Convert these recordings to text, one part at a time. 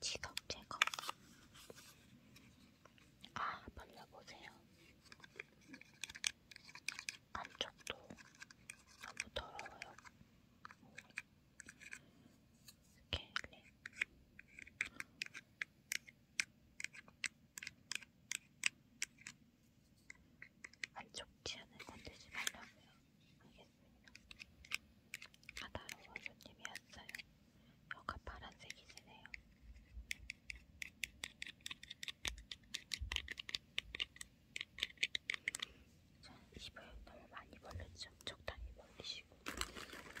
지금 제거 아 벌려보세요. 안쪽도 너무 더러워요. 이렇게 한쪽 치안을 건들지 말라고요. 알겠습니다. 까다로운 아, 손님이었어요. 여가 파란색이시네요. 자, 입을 너무 많이 벌렸죠? 적당히 벌리시고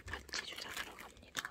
같이 아, 주사 들어갑니다.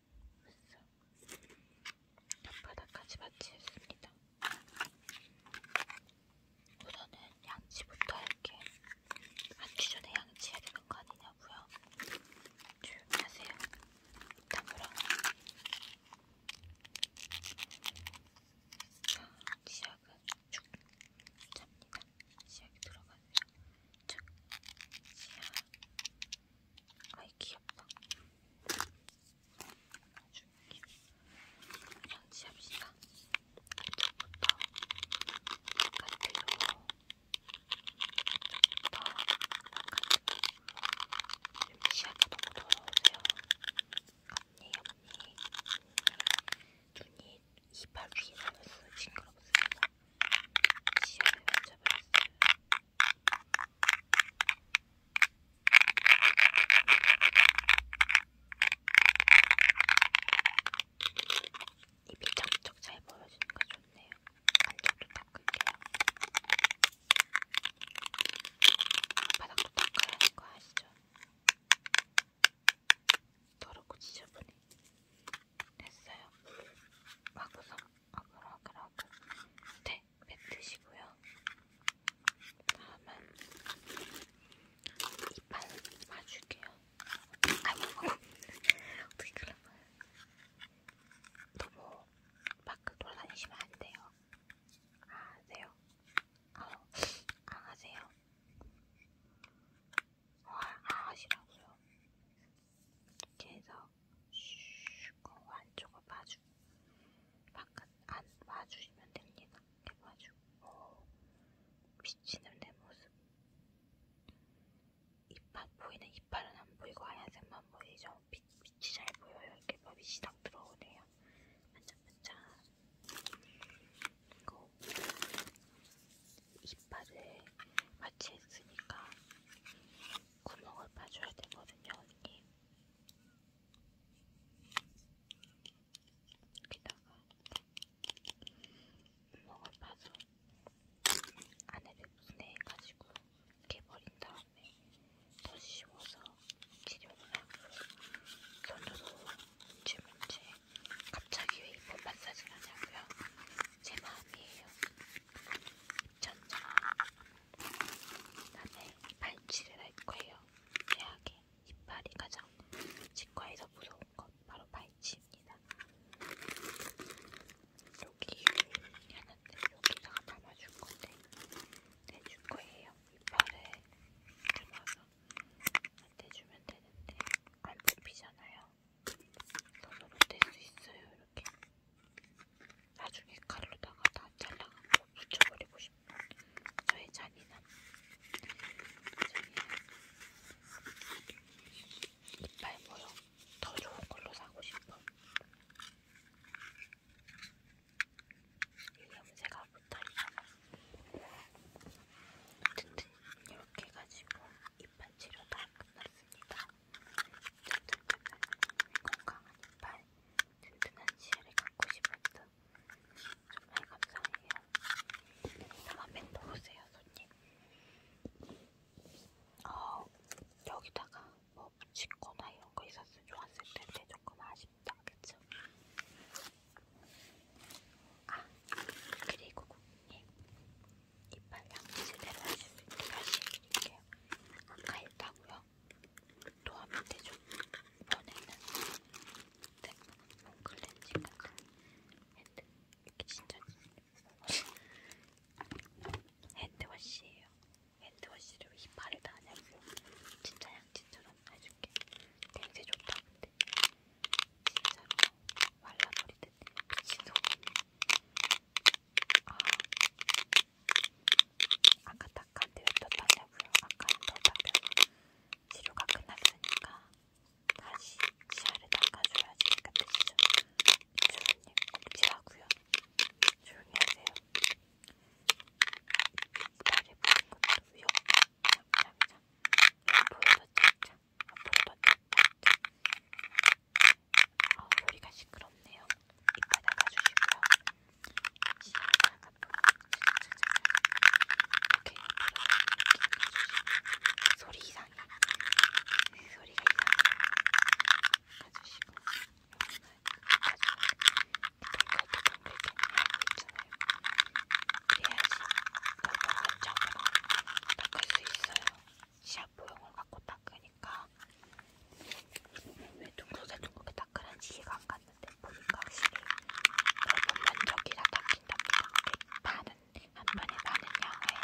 바닥까지 마치겠습니다. 우선은 양치부터 할게. 앉기 전에 양치해야 되는 거 아니냐고요? 조용히 하세요. 다물어. 자, 시약은 쭉 잡니다. 시약이 들어가세요. 쭉. 시약. 아이 귀엽다. 아주 귀엽다. 설치합시다. 이쪽부터 바깥으로 이쪽부터 바깥으로 지금 시야가 너무 더러워서요. 언니 언니 눈이 이빨 위에 달렸어요. 징그럽습니다. 시험을 맞춰봤어요. 입이 쩍쩍 잘 벌어지는 거 좋네요. 안쪽도 닦을게요. 바닥도 닦아야 하는 거 아시죠? 더럽고 지저분해. 됐어요. 와구성, 와글와글와글. 네, 뱉으시고요. 다음은 이빨 맞출게요. 아이고, 어떻게 그러면. 너무 밖에 돌아다니시면 안 돼요. 아, 어, 안 하세요. 아, 안 하세요. 화하시라고요. 계속 슈그 안쪽을 봐주 바깥 안 봐주시면 됩니다. 이렇게 봐주고 비치는 어, 내 모습 이빨 보이는 이빨은 안 보이고 하얀색만 보이죠. 빛, 빛이 잘 보여요. 이렇게 봐 빛이 딱 들어오네요. 반짝반짝 그리고 이빨을 마취했으니까 구멍을 파줘야 되거든요, 언니. 여기다가 구멍을 파서 안에를 분해해가지고 깨버린 다음에 더 씌워서 치료를 하고 손으로 질문지 갑자기 왜 이번 마사지를 하냐고요? 제 마음이에요. 전자 나는 발치를 할 거예요. 최악의 이빨이 가장 치과에서 무서운 것 바로 발치입니다. 여기 하는데 여기다가 담아줄 건데 내줄 거예요. 이빨에 담아서 대주면 되는데 안 뽑히잖아요. 손으로 뗄수 있어요. 이렇게 나중에 칼로다가 다 잘라가지고 붙여버리고 싶은 저의 잔인함. 저는 이빨 모형 더 좋은 걸로 사고 싶어. 염색가 붙어있잖아. 어쨌든 이렇게 해가지고 이빨 치료 다 끝났습니다. 든든한 건강한 이빨, 든든한 치아를 갖고 싶었어. 정말 감사해요. 다음에 또 오세요, 손님. 어, 여기다가 뭐 붙이거나 이런 거 있었으면 좋았을 텐데 조금 아쉽다, 그쵸? 아, 그리고 고객님 이빨 양치 제대로 하실 수 있게 다시 해드릴게요. 아까 했다고요? 또 하면 되죠? 이번에는 네, 클렌징 같은 핸드 이게 진짜 핸드워시예요. 핸드워시로 이빨에 다 낼고 진짜 양치처럼 해줄게. 냄새 좋다 근데 진짜로 말라버리듯 미친놈. 아 아까 닦았는데 왜또 닦냐고요? 아까는 더 닦여서 치료가 끝났으니까 다시 치아를 닦아줘야지. 그 뜻이죠. 주님 꼭지하고요. 조용히 하세요. 다리 부은 것도 위험. 잠잠잠. 앞으로도 짝짝. 앞으로도 짝짝. 아 소리가 시끄럽네요. 이따 나가주시고요. 시작. 앞으로 짝짝짝. 오케이. 앞으로 이렇게 가주시고. 소리 이상해. 소리가 이상해. 가주시고. 닦을 수 있어요. 시합보형을 갖고 닦으니까 왜 둥글게 둥글게 닦으는지 이해가 안 갔는데 보니까 확실히 넓은 면적이라 닦인답니다. 반은 한 번에 많은 양을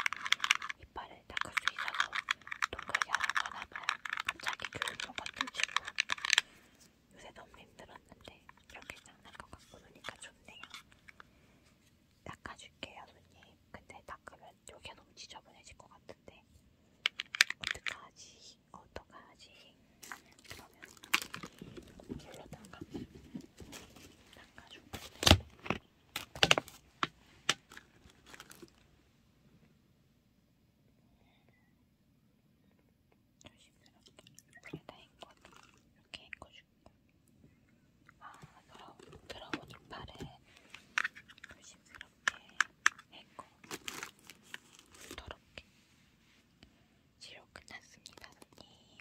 이빨을 닦을 수 있어서 동그랗게 하라고 하나봐요. 갑자기 교육용 같은 친구. 요새 너무 힘들었는데 이렇게 장난 것 같고 그러니까 좋네요. 닦아줄게요, 손님. 근데 닦으면 여기가 너무 지저분해질 것 같은데 어떡하지? 어떡하지? 그러면 물로 닦아. 닦아줄 건데. 아, 조심스럽게 이렇게 헹궈주고 아, 들어온 이빨에 조심스럽게 헹궈 부드럽게 치료 끝났습니다, 선생님.